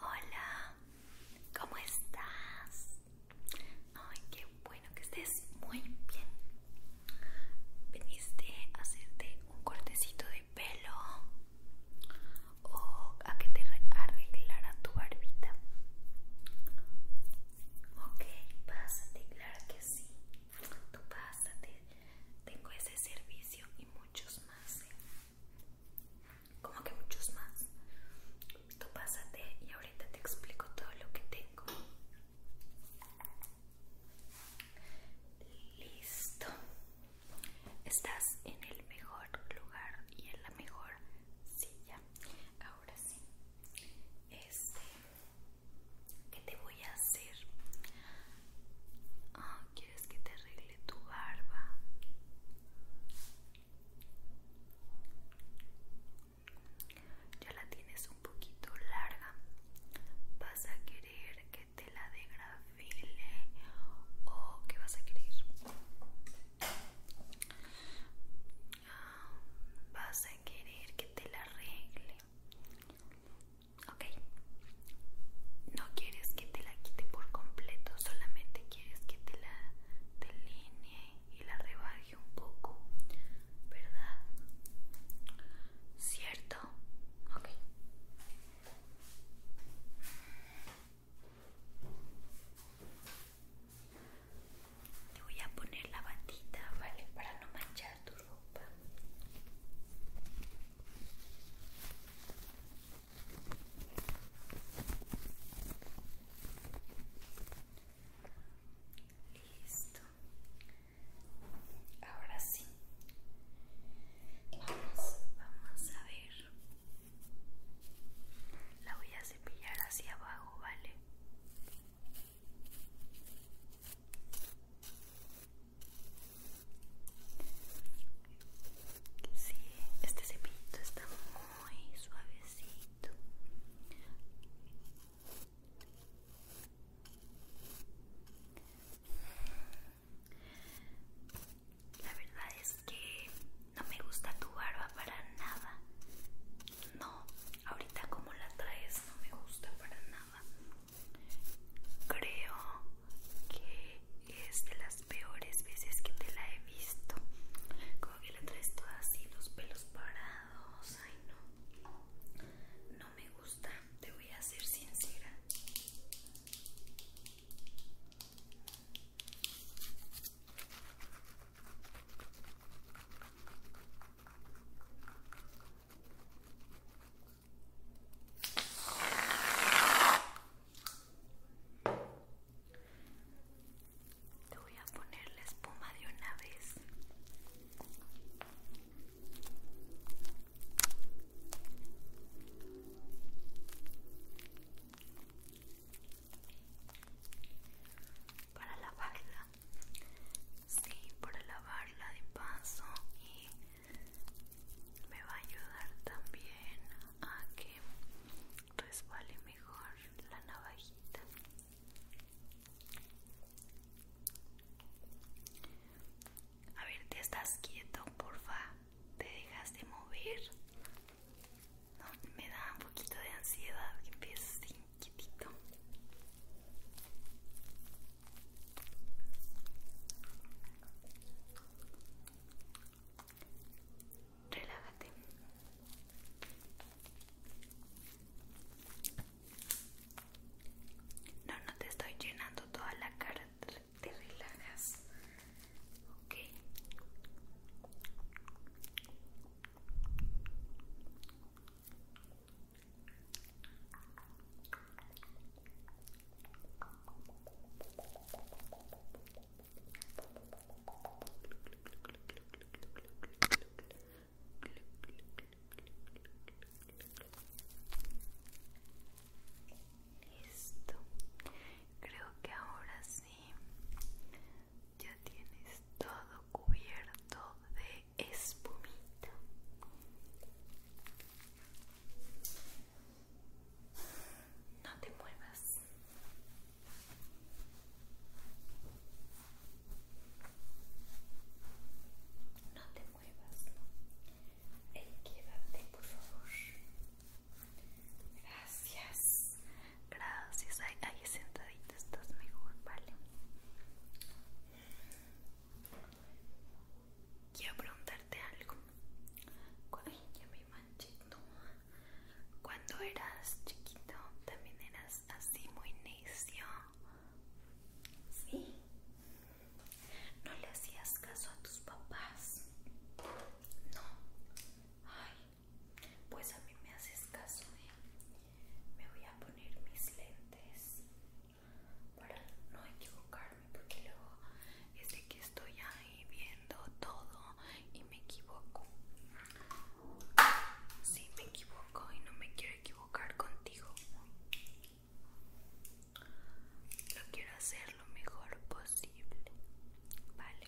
Hola, ¿cómo estás? Ay, qué bueno que estés muy bien. Veniste a hacerte un cortecito de pelo o a que te arreglara tu barbita. Ok, pásate, claro que sí. Tú pásate. Tengo ese servicio y muchos más. ¿eh? Como que muchos más. Tú pásate y ahorita te explico todo lo que tengo. Listo. Estás en el mejor lugar y en la mejor silla. Ahora sí. Este que te voy a hacer. Ah, ¿Quieres que te arregle tu barba? Ya la tienes un poquito larga. Vas a querer que te la degrafile o que vas a querer vas a querer que te la arregle ok no quieres que te la quite por completo solamente quieres que te la delinee y la rebaje un poco verdad cierto ok te voy a poner la batita, ¿vale? Para no manchar tu ropa. Listo. Ahora sí. Vamos, a ver. La voy a cepillar hacia abajo, ¿vale? Sí, este cepillito está muy suavecito. La verdad es que no me gusta tu barba para nada. No, ahorita como la traes no me gusta para nada. Creo que es de las peores veces que te la he visto. Como que la traes toda así, los pelos parados. Ay, no. No me gusta, te voy a ser sincera. Te voy a poner la espuma de una vez para lavarla sí para lavarla de paso y me va a ayudar también a que resbale mejor la navajita a ver, te estás quieto, porfa. Te dejas de mover. me da un poquito de ansiedad que empieces quietito Relájate. No, no te estoy llenando toda la cara te relajas, ok. Listo. Creo que ahora sí ya tienes todo cubierto de espumita. No te muevas. No te muevas, quédate, por favor. Gracias. Gracias. Ahí, sentadita estás mejor, ¿vale? Quiero preguntarte algo. Ay, ya me manché. Cuando eras chiquito, también eras así muy necio. Sí. No le hacías caso a tus papás. No. Ay, pues a mí me haces caso, ¿eh? Me voy a poner mis lentes para no equivocarme, porque luego es de que estoy ahí viendo todo y me equivoco. Sí, me equivoco y no me quiero equivocar contigo lo quiero hacer lo mejor posible, ¿vale?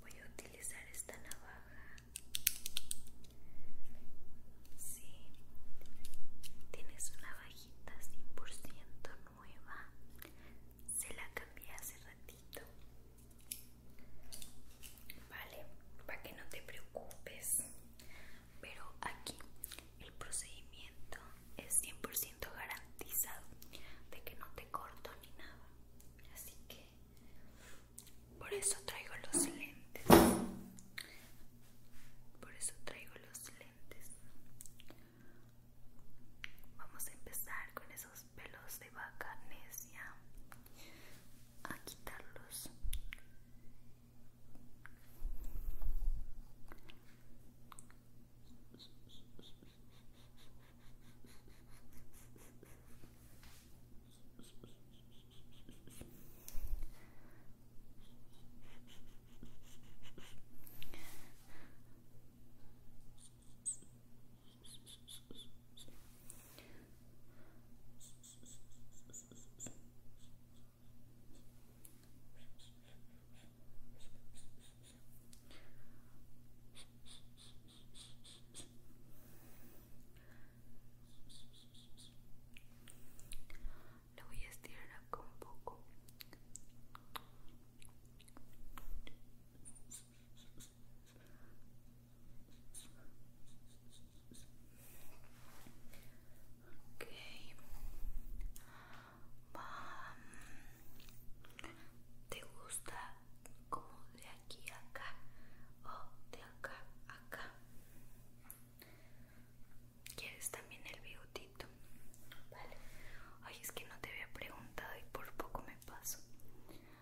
Voy a utilizar esta navaja. Sí, tienes una navajita 100% nueva. Se la cambié hace ratito. Vale, para que no te preocupes. Pero aquí el procedimiento es 100% garantizado de que no te corto ni nada. Así que por eso traigo los lentes. Por eso traigo los lentes. Vamos a empezar con esos pelos de vaca a quitarlos lo voy a estirar acá un poco. Ok. Um, ¿Te gusta como de aquí a acá o de acá a acá? ¿Quieres también el bigotito? Vale. Ay, es que no te había preguntado y por poco me paso.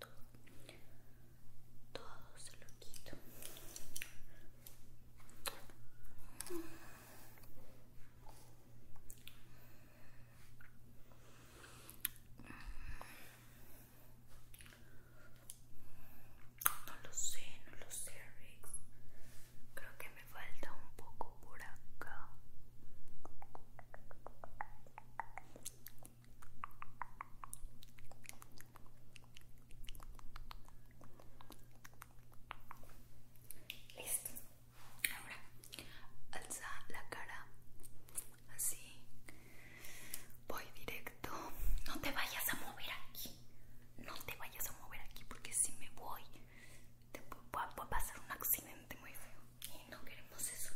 todo todo se lo quito no lo sé, no lo sé Creo que me falta un poco por acá Listo. Ahora alza la cara así. Voy directo. No te vayas a mover aquí. No te vayas a mover aquí porque si me voy te a pasar un accidente muy feo y no queremos eso.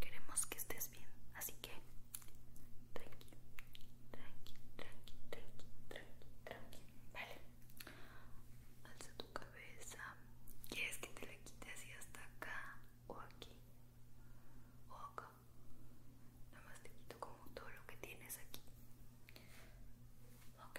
Queremos que estés bien, así que tranqui, tranqui, tranqui, tranqui, tranqui, tranqui. Vale. Alza tu cabeza. ¿Quieres que te la quite así hasta acá o aquí? O acá. Nada más te quito como todo lo que tienes aquí. Ok.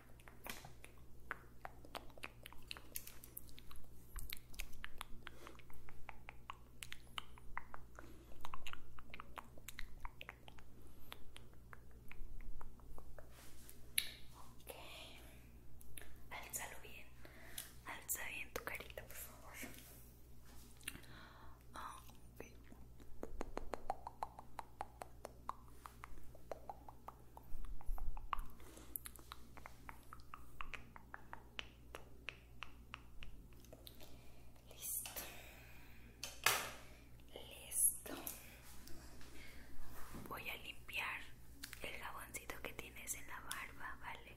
Ok, alzalo bien, alza bien tu carita, por favor. Ah, Listo. Listo. Voy a limpiar el jaboncito que tienes en la barba, ¿vale?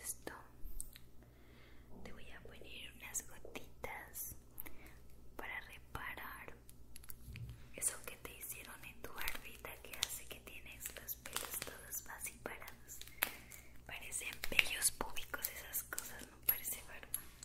Listo. Te voy a poner unas gotitas para reparar eso que te hicieron en tu barbita que hace que tienes los pelos todos así parados. Parecen pelos públicos esas cosas, no parece verdad.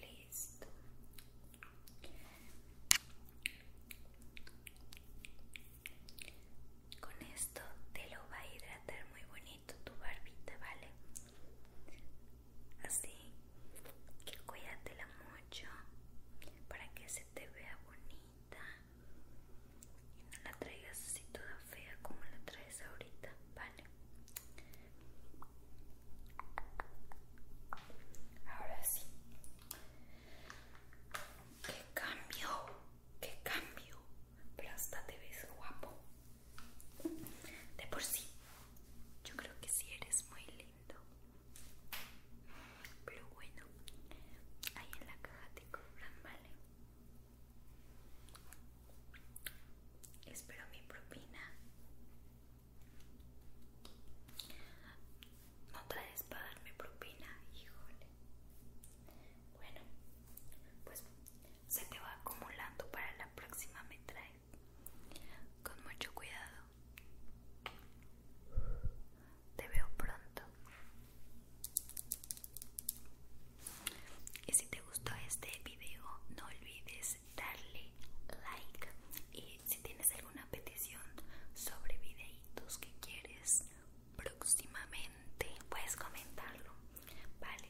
Listo. Con esto te lo va a hidratar muy bonito tu barbita, ¿vale? Así que cuídatela mucho para que se te vea bonita y no la traigas así toda fea como la traes ahorita, ¿vale? Ahora sí. ¡Qué cambio! ¡Qué cambio! Pero hasta te ves guapo. De por sí. Yo creo que sí eres muy lindo. Pero bueno, ahí en la caja te cobran, ¿vale? Espero mi propina. No traes para mi propina, híjole. Bueno, pues se te va acumulando para la próxima me traes. Con mucho cuidado. Te veo pronto. Y si te gustó este video, no olvides darle like. Y si tienes alguna petición sobre videitos que quieres próximamente, puedes comentarlo. Vale.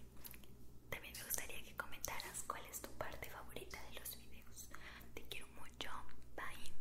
También me gustaría que comentaras cuál es tu parte favorita de los videos. Te quiero mucho. Bye.